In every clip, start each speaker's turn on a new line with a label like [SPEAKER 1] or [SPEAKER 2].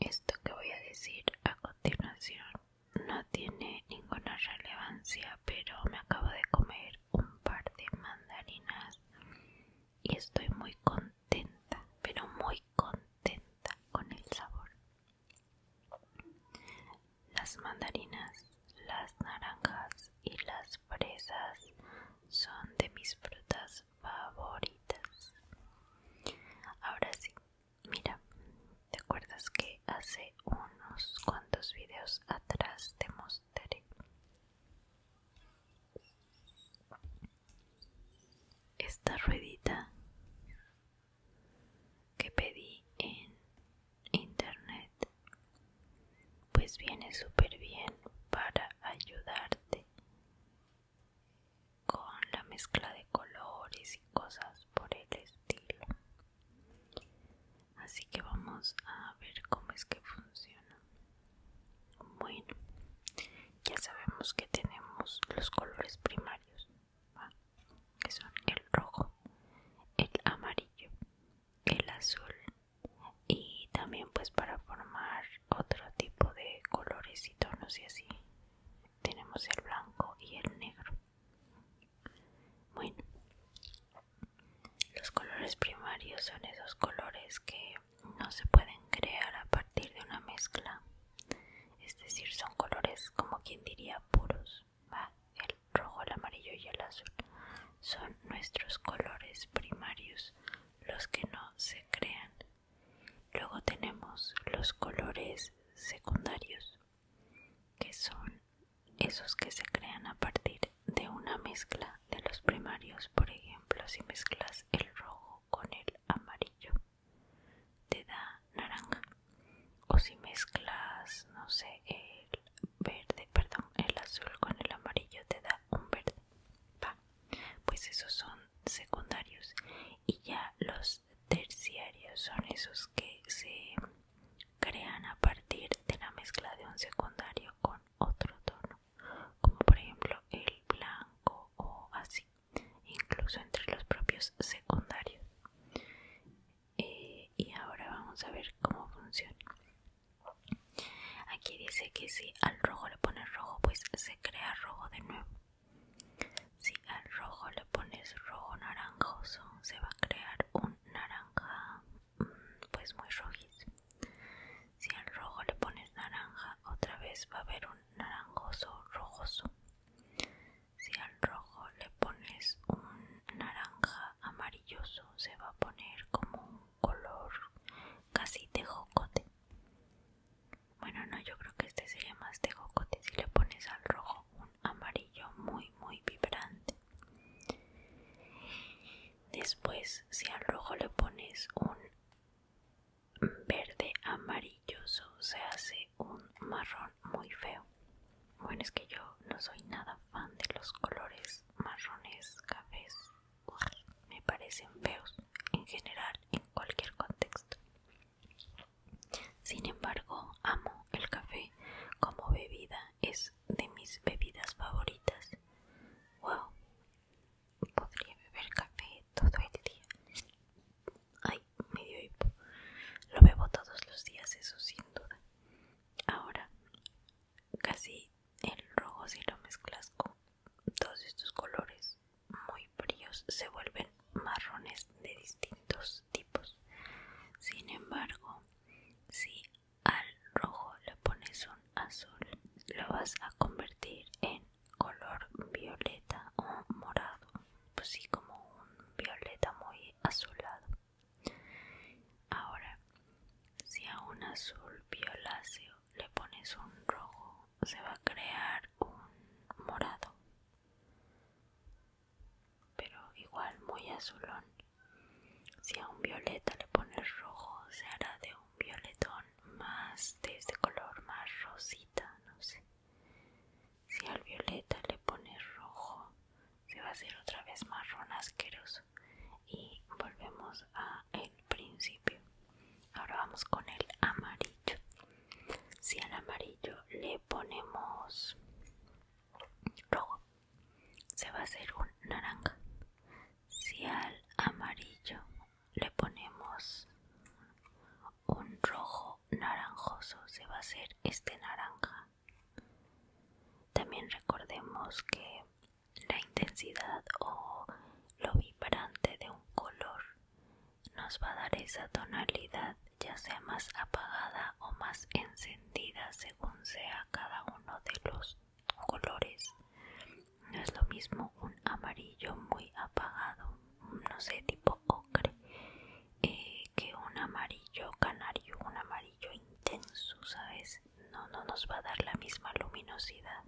[SPEAKER 1] Esto que voy a decir a continuación no tiene ninguna relevancia, pero me acabo de comer un par de mandarinas y estoy muy contenta, pero muy contenta con el sabor. Las mandarinas, las naranjas y las las fresas son de mis frutas favoritas. Ahora sí, mira, ¿te acuerdas que hace unos cuantos videos atrás te mostré? Esta ruedita que pedí en internet pues viene súper bien para ayudarte con la mezcla de colores y cosas por el estilo así que vamos a ver cómo es que funciona bueno ya sabemos que tenemos los colores primarios que son el rojo el amarillo el azul y también pues para formar otro tipo de colores y tonos y así tenemos el blanco y el negro bueno los colores primarios son esos colores que no se pueden crear a partir de una mezcla es decir son colores como quien diría puros el rojo el amarillo y el azul son nuestros colores primarios los que no se crean. Luego tenemos los colores secundarios, que son esos que se crean a partir de una mezcla de los primarios. Por ejemplo, si mezclas el rojo con el amarillo, te da naranja. O si mezclas, no sé, el verde, perdón, el azul con el amarillo te da un verde. pues esos son secundarios y ya los terciarios son esos que se crean a partir de la mezcla de un secundario con otro tono, como por ejemplo el blanco o así, incluso entre los propios secundarios. Eh, y ahora vamos a ver cómo funciona. Aquí dice que si al rojo le pones rojo, pues se crea rojo de nuevo. Si al rojo le pones rojo naranjoso, se va a crear un naranja mm, pues muy rojizo. Si al rojo le pones naranja, otra vez va a haber un naranjoso rojoso. Si al rojo le pones un naranja amarilloso, se va a poner como un color casi de jocote. Bueno, no, yo creo que este sería más de jocote si le pones al rojo un amarillo muy, muy vibrante. Después, si al rojo le pones un verde amarilloso, se hace un marrón muy feo. Bueno, es que yo no soy nada fan de los colores marrones, cafés me parecen feos en general en cualquier contexto. Sin embargo, amo el café como bebida, es de mis bebidas favoritas. Wow, podría beber café todo el día. Ay, me hipo. Lo bebo todos los días, eso sin duda. Ahora, casi el rojo si lo mezclas con todos estos colores muy fríos se vuelven marrones de distintos tipos sin embargo si al rojo le pones un azul lo vas a convertir en color violeta o morado pues sí como un violeta muy azulado ahora si a un azul violáceo le pones un rojo, se va a crear un morado, pero igual muy azulón. Si a un violeta le pones rojo, se hará de un violetón más de este color, más rosita, no sé. Si al violeta le pones rojo, se va a hacer otra vez marrón asqueroso y volvemos a el principio ahora vamos con el amarillo si al amarillo le ponemos rojo se va a hacer un naranja si al amarillo le ponemos un rojo naranjoso se va a hacer este naranja también recordemos que la intensidad o lo vibrante de un color nos va a dar esa tonalidad ya sea más apagada o más encendida según sea cada uno de los colores no es lo mismo un amarillo muy apagado no sé tipo ocre eh, que un amarillo canario un amarillo intenso sabes no no nos va a dar la misma luminosidad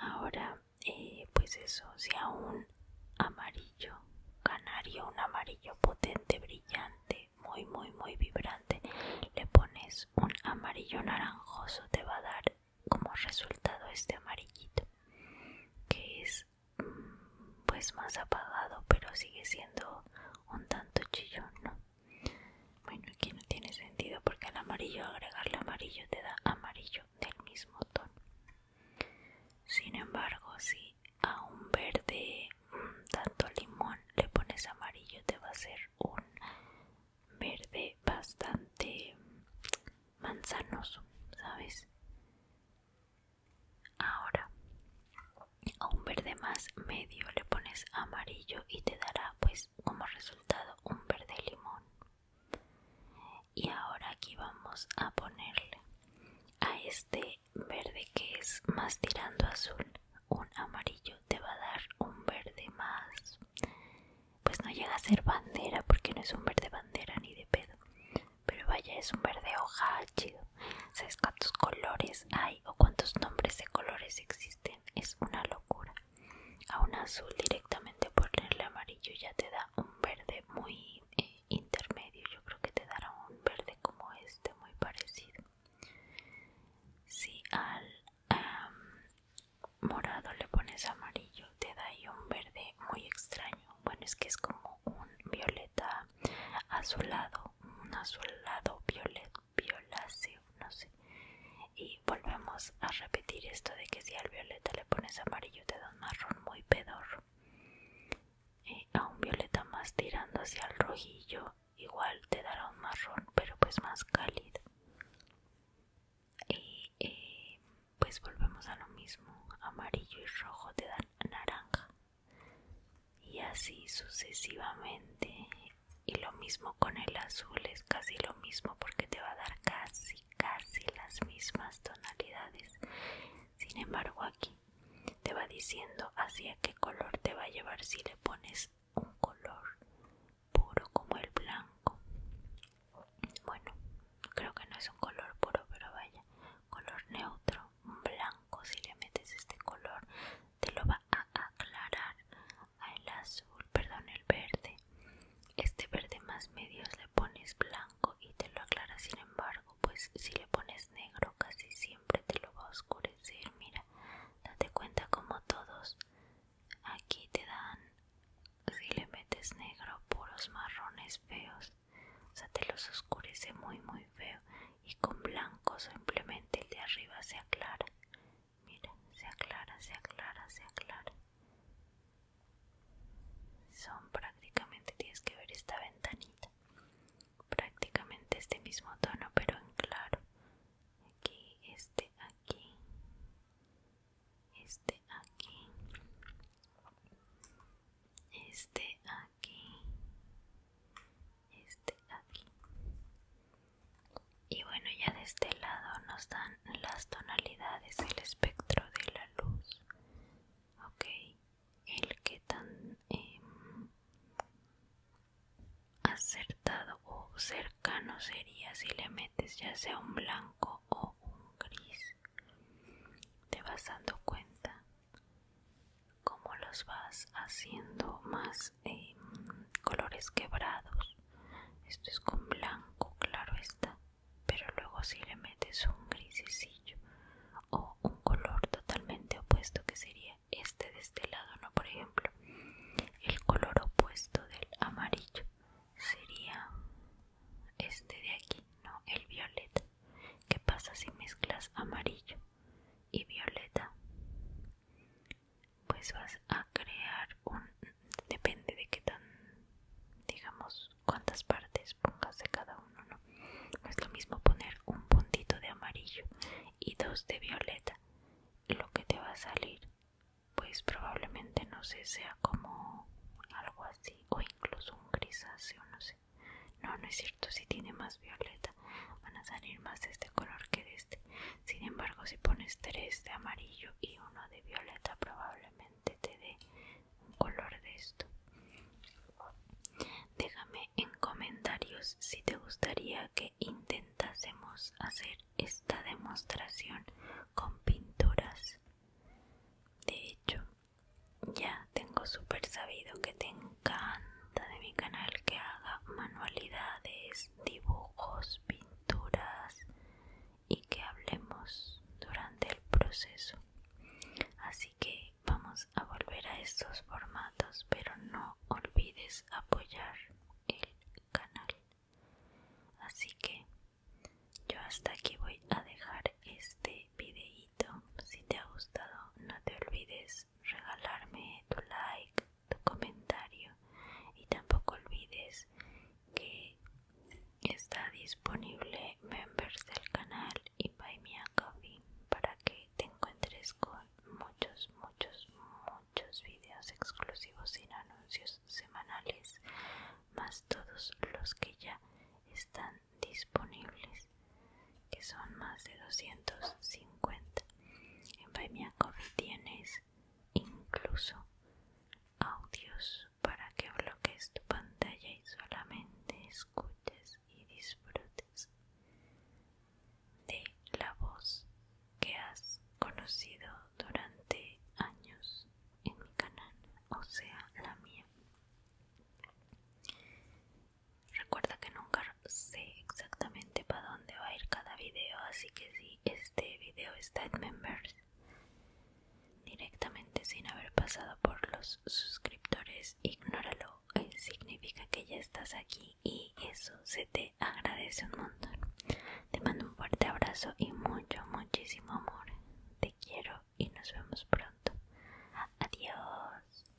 [SPEAKER 1] ahora eh, pues eso sea un amarillo canario un amarillo potente brillante muy muy muy vibrante le pones un amarillo naranjoso te va a dar como resultado este amarillito que es mm, pues más apagado pero sigue siendo un tanto chillón ¿no? Bueno, aquí no tiene sentido porque al amarillo agregarle amarillo te da amarillo del mismo tono. Sin embargo, si a un verde mm, tanto limón le pones amarillo, te va a ser un verde bastante mm, manzanoso, ¿sabes? Ahora, a un verde más medio le pones amarillo y te dará pues como resultado un verde limón y ahora aquí vamos a ponerle a este verde que es más tirando azul un amarillo te va a dar un verde más pues no llega a ser bandera porque no es un verde bandera ni de pedo pero vaya es un verde hoja chido sabes cuántos colores hay o cuántos nombres de colores existen es una locura a un azul directamente ponerle amarillo ya te da un verde muy eh, intermedio yo creo que te dará un verde como este muy parecido si al morado le pones amarillo te da ahí un verde muy extraño bueno es que es como un violeta azulado un azulado violeta violáceo, no sé. Y volvemos a repetir esto de que si al violeta le pones amarillo te da un marrón muy pedor a un violeta más tirando hacia el rojillo igual te dará un marrón, pero pues más cálido. y eh, pues volvemos a lo mismo, amarillo y rojo te dan naranja. Y así sucesivamente y lo mismo con el azul es casi lo mismo porque te va a dar casi casi las mismas tonalidades sin embargo aquí te va diciendo hacia qué color te va a llevar si le pones un color puro como el blanco bueno creo que no es un color puro pero vaya color neutro blanco si le metes este color te lo va a aclarar el azul, perdón, el verde. Este verde más medios le pones blanco y te lo aclara, sin embargo, pues si le pones negro casi siempre te lo va a oscurecer. Mira, date cuenta como todos aquí te dan, si le metes negro, puros marrones feos. O sea, te los oscurece muy muy feo y con blanco simplemente el de arriba se aclara Mira, se aclara, se aclara, se aclara. Son prácticamente, tienes que ver esta ventanita. Prácticamente este mismo tono, pero en claro. Aquí, este, aquí. Este, aquí. Este, aquí. Este, aquí y bueno ya de este lado nos dan las tonalidades el espectro de la luz ok el que tan em, acertado o cercano sería si le metes ya sea un blanco o un gris te vas dando cuenta cómo los vas haciendo más Em, colores quebrados esto es con blanco claro está pero luego si le metes un grisecillo o un color totalmente opuesto que sería este de este lado no por ejemplo el color opuesto del amarillo sería este de aquí no el violeta ¿Qué pasa si mezclas amarillo y violeta? pues vas a crear un depende de qué tan digamos cuántas partes pongas de cada uno no es lo mismo poner un puntito de amarillo y dos de violeta lo que te va a salir pues probablemente no sé sea como algo así o incluso un grisáceo no sé no no es cierto si tiene más violeta van a salir más de este color que de sin embargo, si pones tres de amarillo y uno de violeta, probablemente te dé un color de esto. Déjame en comentarios si te gustaría que intentásemos hacer esta demostración con pinturas. De hecho, ya tengo súper sabido que te encanta de mi canal que haga manualidades dibujos, pinturas y que hablemos durante el proceso. Así que vamos a volver a estos formatos, pero no olvides apoyar el canal. Así que yo hasta aquí voy a dejar este videito. Si te ha gustado, no te olvides regalarme tu like, tu comentario y tampoco olvides que está disponible members del canal y by me a coffee para que te encuentres con muchos muchos muchos videos exclusivos sin anuncios semanales más todos los que ya están disponibles que son más de 250 en by me a coffee tienes incluso audios para que bloques tu pantalla y solamente escuches y disfrutes de la voz que has conocido durante años en mi canal, o sea, la mía. Recuerda que nunca sé exactamente para dónde va a ir cada video, así que si este video está en members directamente sin haber pasado por los suscriptores. Ignóralo, eh, significa que ya estás aquí y eso se te agradece un montón. Te mando un fuerte abrazo y mucho, muchísimo amor. Te quiero y nos vemos pronto. Adiós.